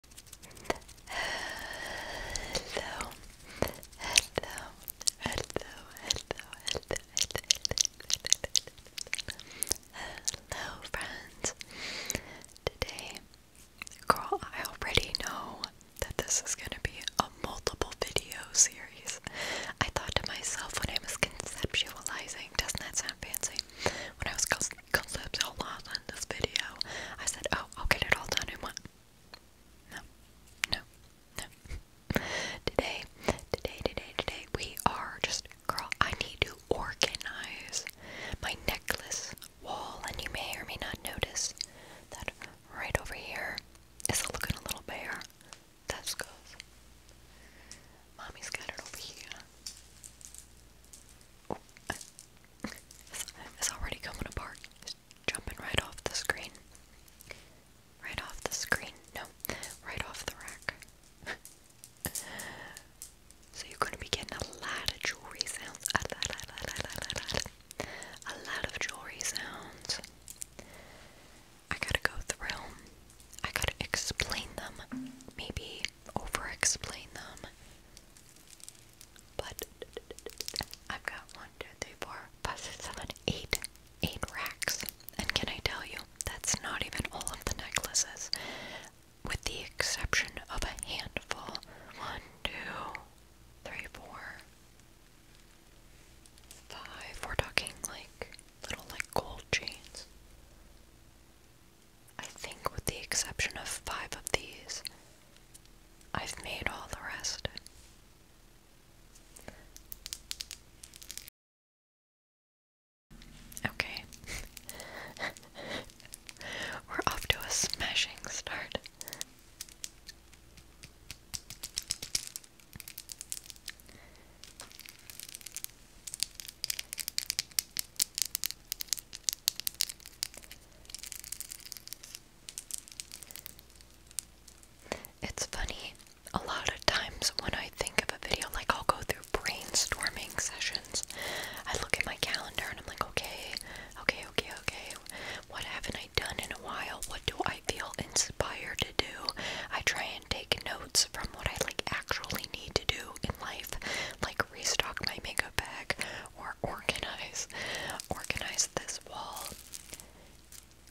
hello, hello, hello, hello, hello, hello, friends. Today, girl, I already know that this is gonna be a multiple video series. I thought to myself when I was conceptualizing, doesn't that sound fancy? When I was clips or laws in this video. I said, oh, I'll get it all done in one. No, no, no. Today, today, today, today, we are just, girl, I need to organize my necklace wall, and you may or may not notice that right over here is looking a little bare. That's good. Mommy's over here. It's already coming apart. It's jumping right off the screen. Right off the screen. No, right off the rack. so you're going to be getting a lot of jewelry sounds. A lot, a lot, a lot, a lot, a lot of jewelry sounds. I gotta go through. them. I gotta explain them. Maybe over explain them. But I've got one, two, three, four, five, six, seven, eight, eight racks. And can I tell you, that's not even all of the necklaces, with the exception of a handful. One, two, three, four, five. We're talking like little like gold chains. I think, with the exception of five of these, I've made all the rest. Okay. We're off to a smashing start. It's funny, a lot of times when I think of a video, like I'll go through brainstorming sessions, I look at my calendar and I'm like, okay, okay, okay, okay, what haven't I done in a while? What do I feel inspired to do? I try and take notes from what I like actually need to do in life, like restock my makeup bag, or organize organize this wall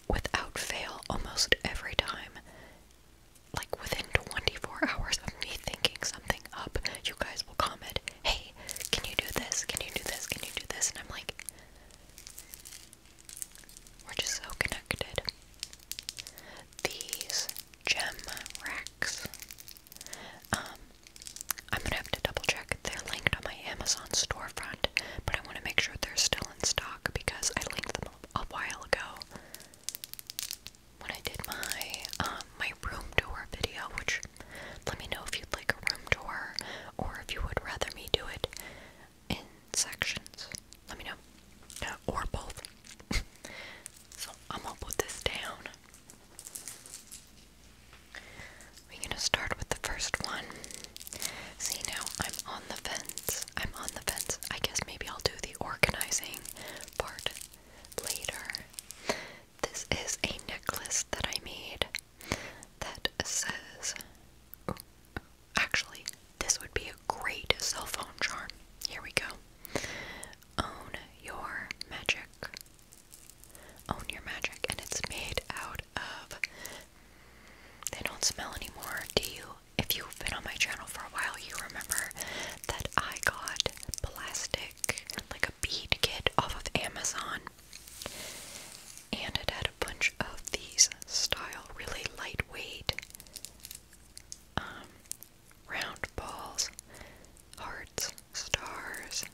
without fail almost every time like within 24 hours of me thinking something up you guys will comment hey can you do this can you do this can you do this and i'm like we're just so connected these gem racks um, I'm gonna have to double check. They're linked on my Amazon storefront, but I want to make sure they're still in stock because I linked them a while ago when I did my um, my room tour video. Which let me know if you'd like a room tour or if you would rather me do it in sections. Let me know, uh, or both. so I'm gonna put this down. We're gonna start with the first one. See, now I'm on the fence. I'm on the fence. I guess maybe I'll do the organizing part later. This is a necklace that I made that says. actually, this would be a great cell phone charm. Here we go. Own your magic. Own Your Magic, and it's made out of. They don't smell anymore. Do you? If you've been on my channel for a while, you remember that I got plastic, like a bead kit off of Amazon. And it had a bunch of these style, really lightweight um, round balls, hearts, stars,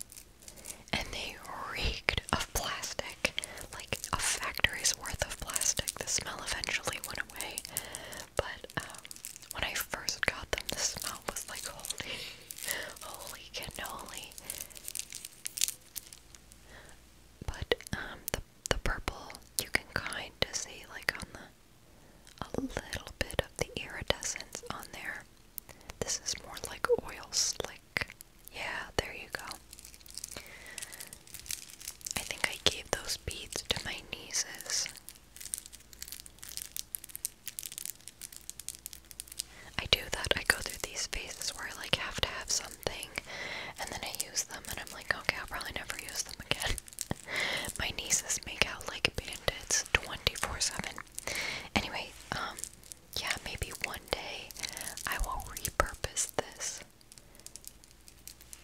and they reeked of plastic, like a factory's worth of plastic. The smell eventually went away, but um, when I first got them, the smell was like holy, holy cannoli. But um, the the purple you can kind of see like on the a little bit of the iridescence on there. This is more like oil slick. Yeah, there you go. I think I gave those beads to my nieces. I do that. I go through these phases where I like have to have something and then I use them and I'm like, okay, I'll probably never use them again. my nieces make out like bandits 24 7. Anyway, um, yeah, maybe one day I will repurpose this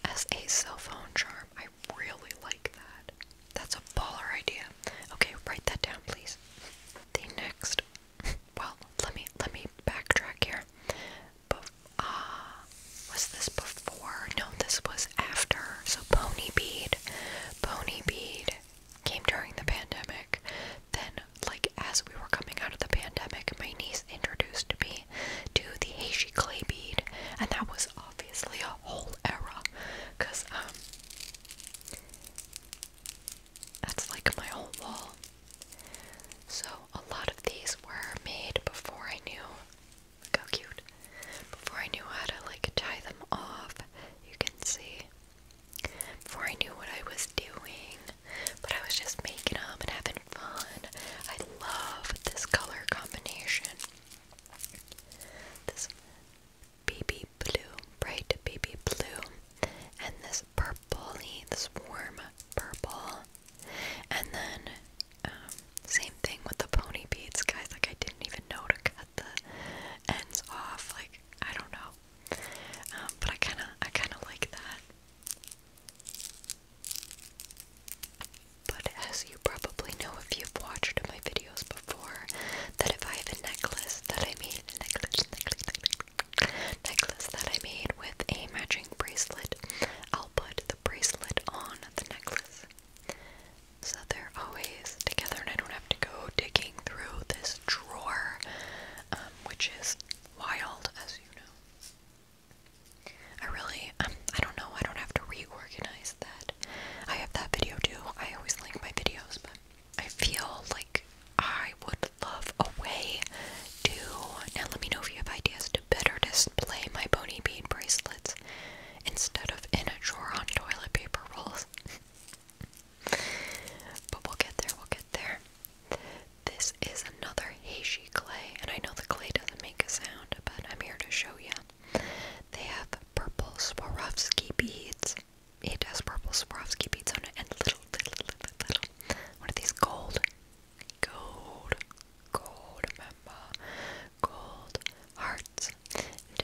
as a cell phone charm. I really like that. That's a baller idea. Okay, write that down, please. The next, well, let me let me backtrack here. ah, was this before? No, this was after. So pony bead, pony bead came during the pandemic. Then, like, as we were coming out of the pandemic, my niece introduced me to the Heishi clay bead, and that was obviously a whole era because, um, that's like my whole wall. So, a lot of these were made before I knew. Look how cute. Before I knew how to like tie them off, you can see. Before I knew what I was doing, but I was just making them and having fun. I love this color combination. This baby blue, bright baby blue, and this purple. this warm purple. And then, um, same thing with the pony beads, guys. Like, I didn't even know to cut the ends off. Like I don't know, um, but I kind of I kind of like that. But as you probably know if you've watched my videos before, that if I have a necklace that I made a necklace necklace necklace, necklace that I made with a matching bracelet, I'll put the bracelet on the necklace so they're always together and I don't have to go digging through this drawer, um, which is wild, as you know. I really, um, I don't know, I don't have to reorganize that. I have that video too. I always link my videos, but I feel like I would love a way to. Now, let me know if you have ideas to better display my bony bean bracelets instead of in a drawer on toilet paper rolls. but we'll get there, we'll get there. This is another Heishi clay, and I know the clay doesn't make a sound, but I'm here to show you. They have purple Swarovski beads. It has purple Swarovski beads on it, and little, little, little, little. What are these? Gold, gold, gold, remember? Gold, heart it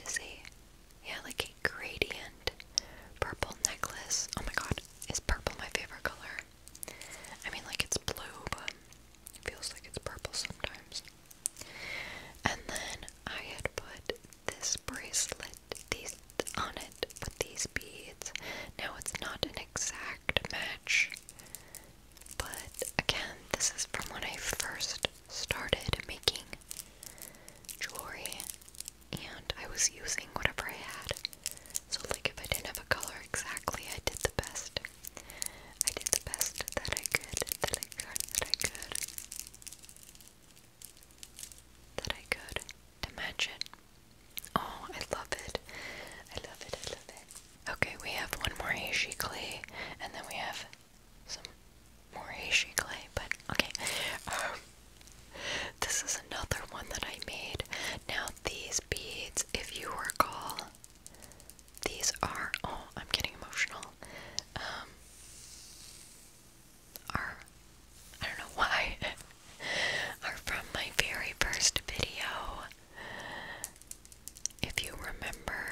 is a yeah, like a gradient purple necklace. Oh my god, is purple my favorite color? I mean like it's blue, but it feels like it's purple sometimes. And then I had put this bracelet these on it with these beads. Now it's not an exact match. But again, this is from when I first started making jewelry and I was using whatever I had. So like if I didn't have a color exactly, I did the best. I did the best that I could, that I could, that I could. to match it. Oh, I love it. I love it, I love it. Okay, we have one more Heishi clay, and then we have some more Heishi clay, but okay. Um, this is another one that I made. Now these beads, if you recall, these are oh, I'm getting emotional. Um, are I don't know why are from my very first video. If you remember,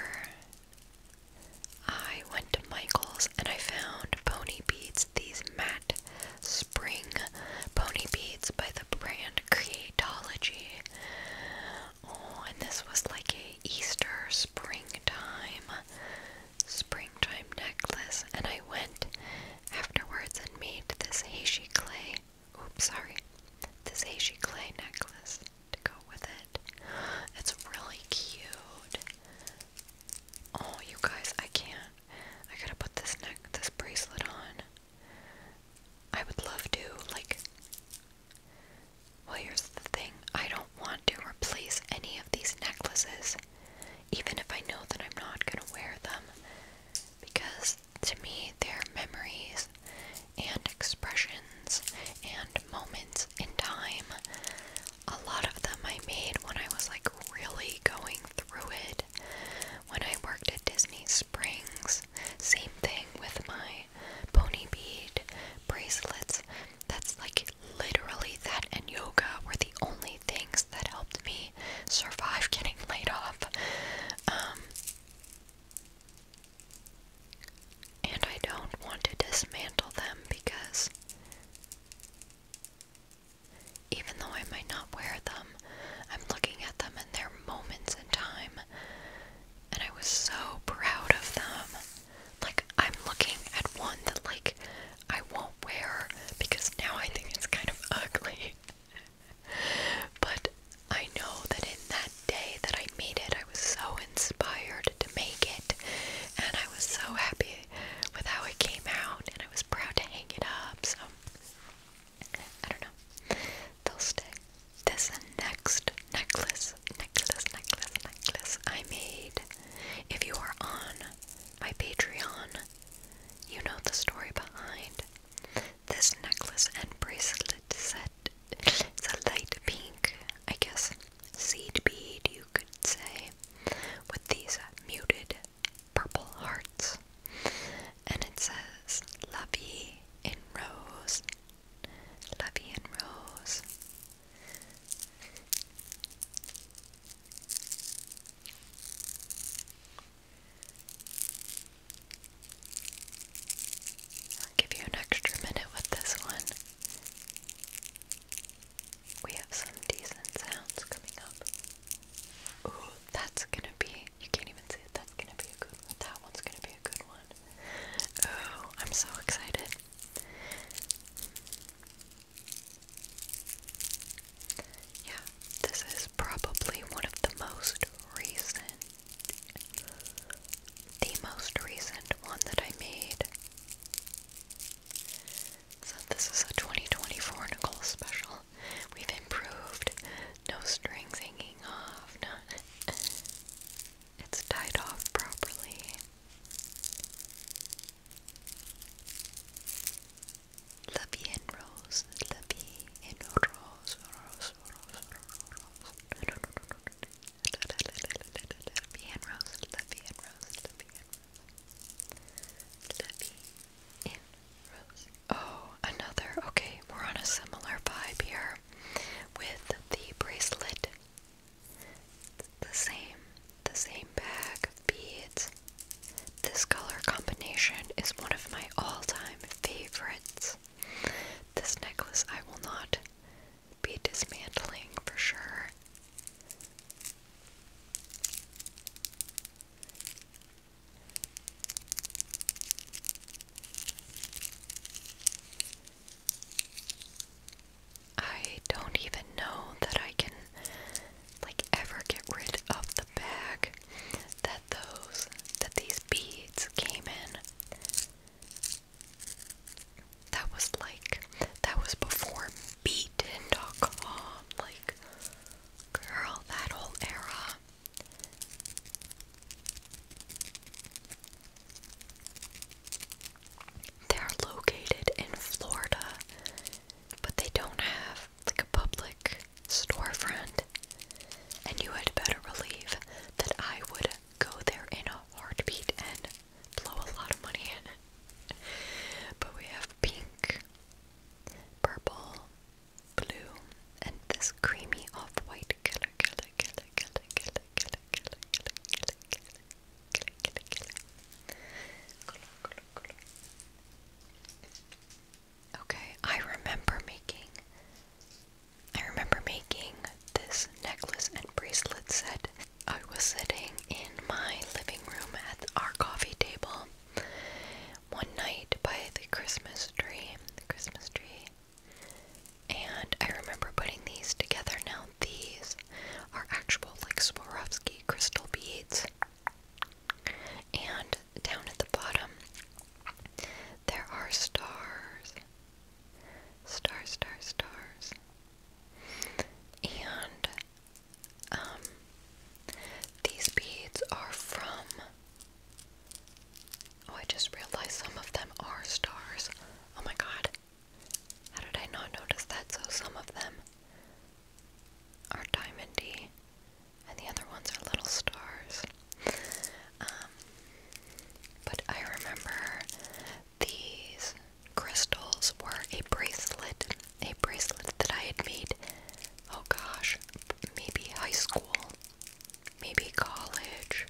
I went to Michael's and I found pony beads, these matte spring pony beads by the brand Creatology. Oh, and this was like a Easter springtime springtime necklace and I went afterwards and made this Heishi clay oops sorry this Heishi clay necklace to go with it. It's really cute. Oh, you guys, I can't. I gotta put this neck, this bracelet on. I would love to, like. Well, here's the thing I don't want to replace any of these necklaces, even if I know that I'm not gonna wear them, because to me, they're memories and expressions and moments in time a lot of them I made when I was like really going through it. When I worked at Disney Springs, same thing with my pony bead bracelets. That's like literally that and yoga were the only things that helped me survive getting laid off. Um, and I don't want to dismantle them because even though I might not wear them, I'm looking at them and their moments in time, and I was so proud of them. Like, I'm looking at one that, like, I won't wear because now I think it's kind of ugly. but I know that in that day that I made it, I was so inspired to make it, and I was so happy with how it came out, and I was proud to hang it up. So I don't know, they'll stay. This next necklace, necklace, necklace, necklace I made. If you are on my Patreon, you know the story behind this necklace and bracelet set. It's a light pink, I guess seed bead, you could say, with these muted purple hearts. And it says, La Vie in Rose. La Vie in Rose. I'll give you an extra minute with this one we have some decent sounds coming up. Ooh, that's gonna be, you can't even see it, that's gonna be a good one. That one's gonna be a good one. Ooh, I'm so excited. Yeah, this is probably one of the most recent, the most recent one that I made. So this is a 2024 Nicole special. We've improved. No strings hanging off. It's tied off properly. Lovey and Rose. Lovey and Rose. Lovey and Rose, Lovey and Rose, Lovey and Rose. Lovey and Rose. Oh, another. Okay, we're on a similar vibe here with the bracelet. The same, the same bag of beads. This color combination is one of my all-time favorites. This necklace I will not be dismantling for sure. I don't even know that I can like ever get rid of the bag that those that these beads came in. That was like, that was before Beaten.com. Like, girl, that whole era. They're located in Florida, but they don't have like a public storefront. And you had better believe that I would go there in a heartbeat and blow a lot of money in it. But we have pink, purple, blue, and this creamy off-white color, color, color, color, color, color, color, color, color, color, color, color, color, Okay, I remember making I remember making this necklace and bracelet set. I was sitting in my living room at our coffee table one night by the Christmas tree, the Christmas tree, and I remember putting these together. Now these are actual like Swarovski crystal beads, and down at the bottom there are stars, stars, stars, stars. And um, these beads are from Oh, I just realized some of them are stars. Oh my god. How did I not notice that? So some of them are diamondy and the other ones are little stars. Um, but I remember these crystals were a bracelet, a bracelet that I had made, oh gosh, maybe high school, maybe college,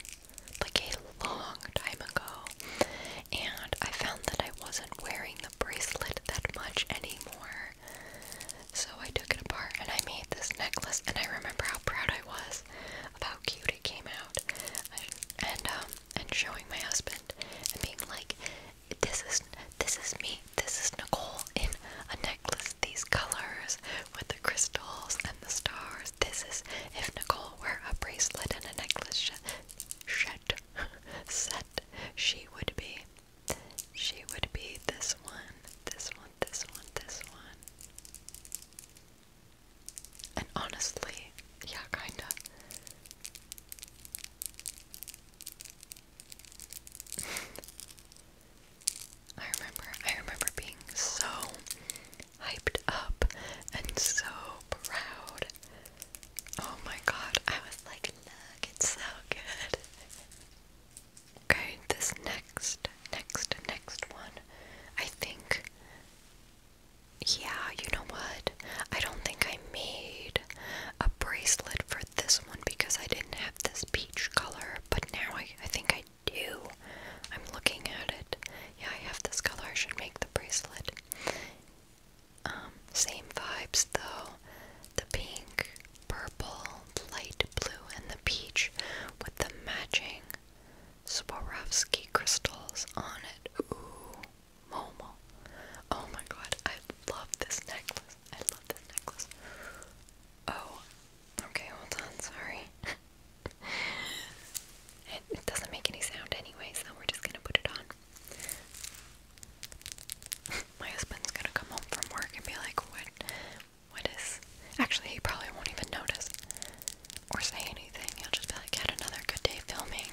like a long time ago. And I found that I wasn't wearing the bracelet that much anymore. So I took it apart and I made this necklace, and I remember how proud I was of how cute it came out. And, um, and showing my husband and being like, this is this is me, this is Nicole in a necklace, these colors with the crystals and the stars. This is if Nicole were a bracelet and a necklace sh shed set, she would be. She would be this one, this one, this one, this one. And honestly, yeah, kinda. I remember, I remember being so hyped up and so proud. Oh my god, I was like, look, it's so good. Okay, this next, next, next one, I think yeah, you know what? I don't think I made a bracelet for this one because I didn't have this peach color, but now I, I think I do. I'm looking at it. Yeah, I have this color. I should make the bracelet. Um, same vibes though. The pink, purple, light blue, and the peach with the matching Swarovski crystals on it. Ooh. Momo. Oh my god, I love this necklace. I love this necklace. Oh, okay, hold on, sorry. it, doesn't make any sound anyway, so we're just gonna put it on. my husband's gonna come home from work and be like, what? What is. Actually, he probably won't even notice or say anything. You'll just be like, had another good day filming.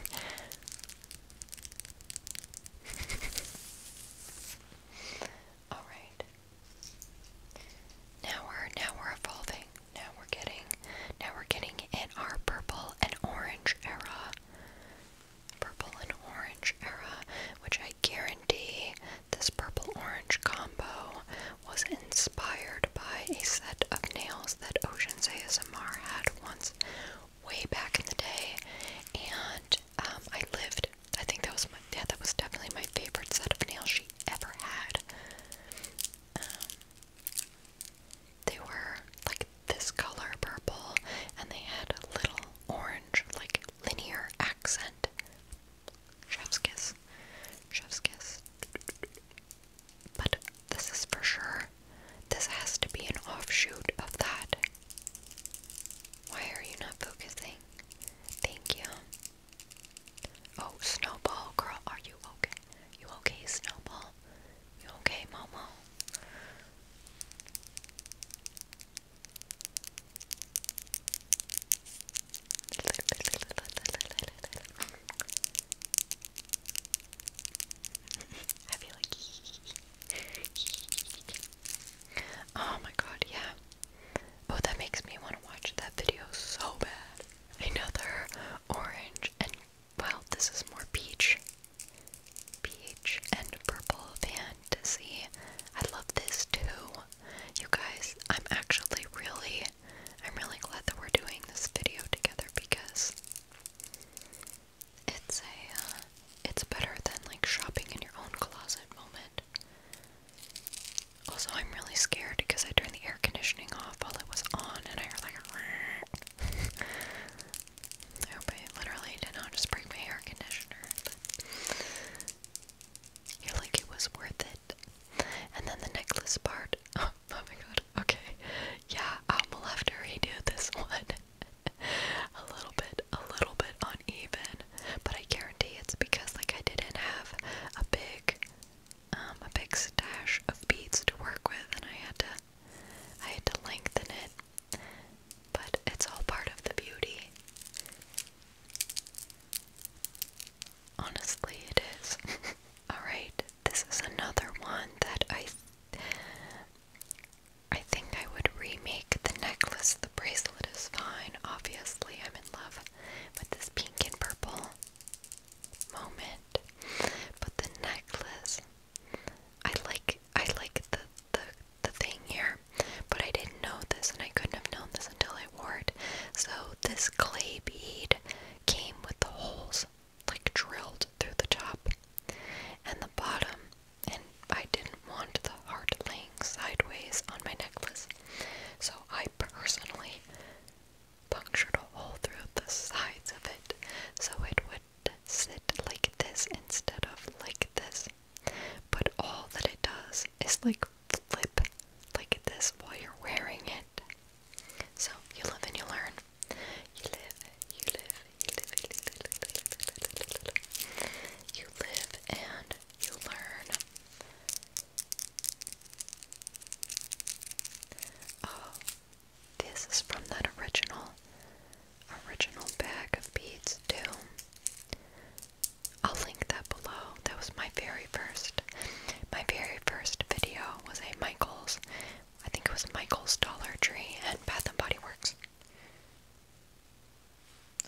Alright. Now we're now we're evolving. Now we're getting now we're getting in our purple and orange era. Purple and orange era, which I guarantee this purple orange combo was inspired by a set of nails that Ocean's ASMR had once way back in the day, and um, I lived. I think that was my yeah, that was definitely my favorite set of nails she ever had. Um, they were like this color purple, and they had a little orange, like linear accent. Chef's kiss, chef's kiss. But this is for sure. This has to be an offshoot of that. Why are you not focusing? Thank you. Oh, Snowball, girl, are you okay? You okay, Snowball? You okay, Momo? I feel like Oh my god, yeah. Oh, that makes me want to watch that video so bad. Another orange and well, this is more peach. Peach and purple fantasy. I love this too. You guys, I'm actually really I'm really glad that we're doing this video together because it's a, uh, it's better than like shopping in your own closet moment. Also, I'm really scared because I turned the air conditioning off while it was on and I heard like a I hope I literally did not just break my air conditioner, you're like, it was worth it. And then the necklace part, oh, oh my god. Okay. Yeah, i am gonna have to redo this one. a little bit, a little bit uneven, but I guarantee it's because like I didn't have a big, um, a big stash of beads to work with, and I had to, I had to lengthen it. But it's all part of the beauty. Honestly, it is. Alright, this is another one that I I think I would remake the necklace. The bracelet is fine. Obviously, I'm in love with this pink and purple moment. But the necklace, I like I like the the the thing here, but I didn't know this and I couldn't have known this until I wore it. So this clay bead came with the holes like drilled through the top and the bottom, and I didn't want the heart laying sideways on my necklace, so I personally punctured a hole through the sides of it so it would sit like this instead of like this. But all that it does is like flip like this while you're wearing it. So you live and you learn. You live, you live, you live, you live, you live, you live and you learn. Oh, this is from that original, original bag of beads too. I'll link that below. That was my very first, my very first video was a Michaels I think it was Michael's Dollar Tree and Bath and Body Works.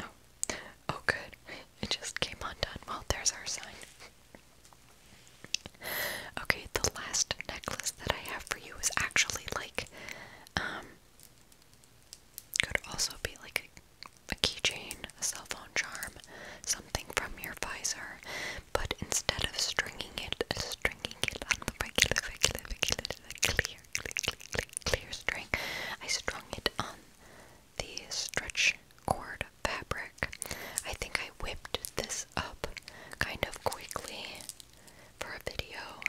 Oh, oh, good. It just came undone. Well, there's our sign. Okay, the last necklace that I have for you is actually like, um, could also be like a, a keychain, a cell phone charm, something from your visor, but instead of stringing it, stringing it on the regular, regular, regular, clear, clear, clear, clear string, I strung it on the stretch cord fabric. I think I whipped this up kind of quickly for a video,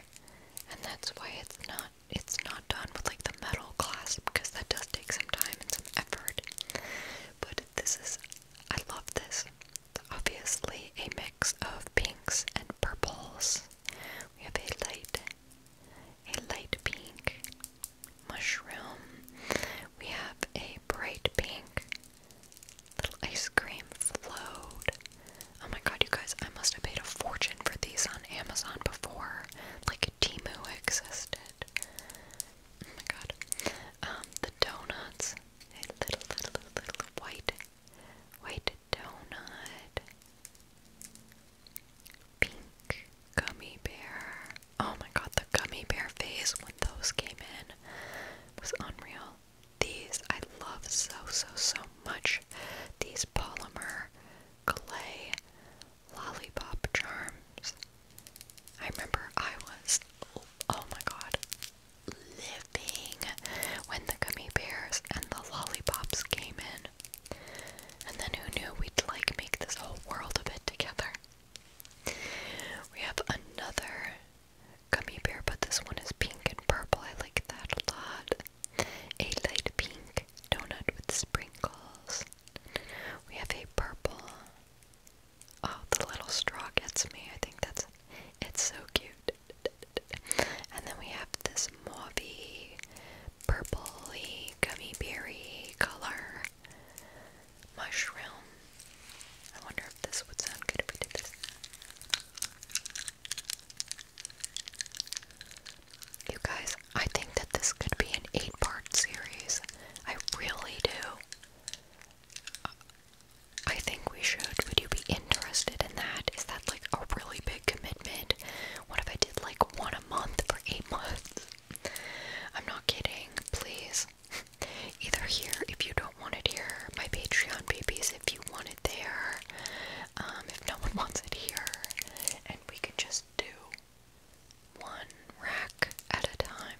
and that's why it's not it's not done with like the metal clasp because that does take some time and some effort. But this is I love this obviously a mix of pinks and purples. We have a light, a light pink mushroom. We have a bright pink little ice cream float. Oh my god, you guys, I must have paid a fortune for these on Amazon before like Timu existed. Oh my god. Um, the donuts a little, little, little, white, white donut, pink gummy bear. Oh my god, the gummy bear phase when those came in was unreal. These I love so, so, so much. These polymer clay lollipop charms. I remember I was, oh my god, living when the gummy bears and the lollipops came in. And then who knew we'd like make this whole world of it together? We have another gummy bear, but this one is pink and purple. I like that a lot. A light pink donut with sprinkles. We have a purple Oh, the little straw gets me. I think that's it's so cute. And then we have this mauvey, purpley, gummy berry color mushroom. I wonder if this would sound good if we did this. You guys, I think that this could be an eight part series. I really do. I think we should. Would you be interested in that? Is that like a really big commitment? What if I did like one a month for eight months? I'm not kidding, please. Either here if you don't want it here, my Patreon babies if you want it there, um, if no one wants it here, and we can just do one rack at a time.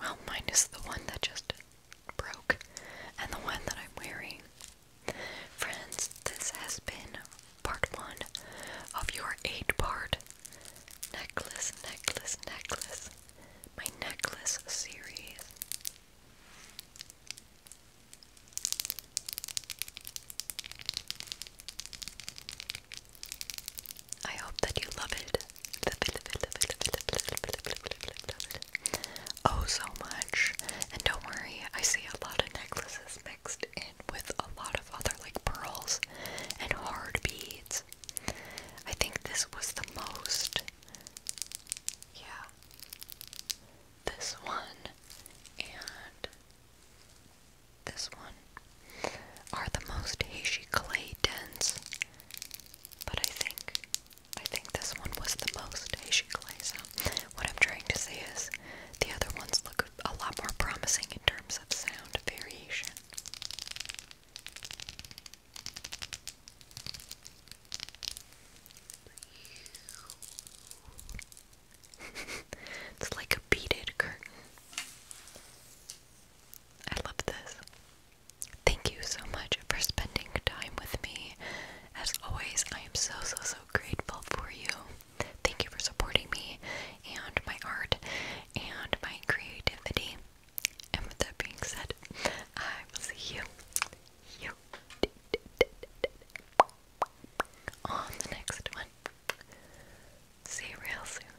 well, mine is the one that just broke and the one that I'm wearing. Friends, this has been part one of your eight part necklace, necklace, necklace, my necklace series. I hope that you love it. Oh, so much. And don't worry, I see a lot of necklaces mixed in with a lot of other like pearls and hard beads. I think this was the most. Yeah. This one and this one are the most Heishi clay dens. But I think I think this one was the most Heishi clay, so what I'm trying to say is the other ones look a lot more promising in terms of sound variation. it's like a beaded curtain. I love this. Thank you so much for spending time with me. As always, I am so, so, so grateful for you. Thank you for supporting me and my art and my creativity. And with that being said, I will see you, you, on the next one. See you real soon.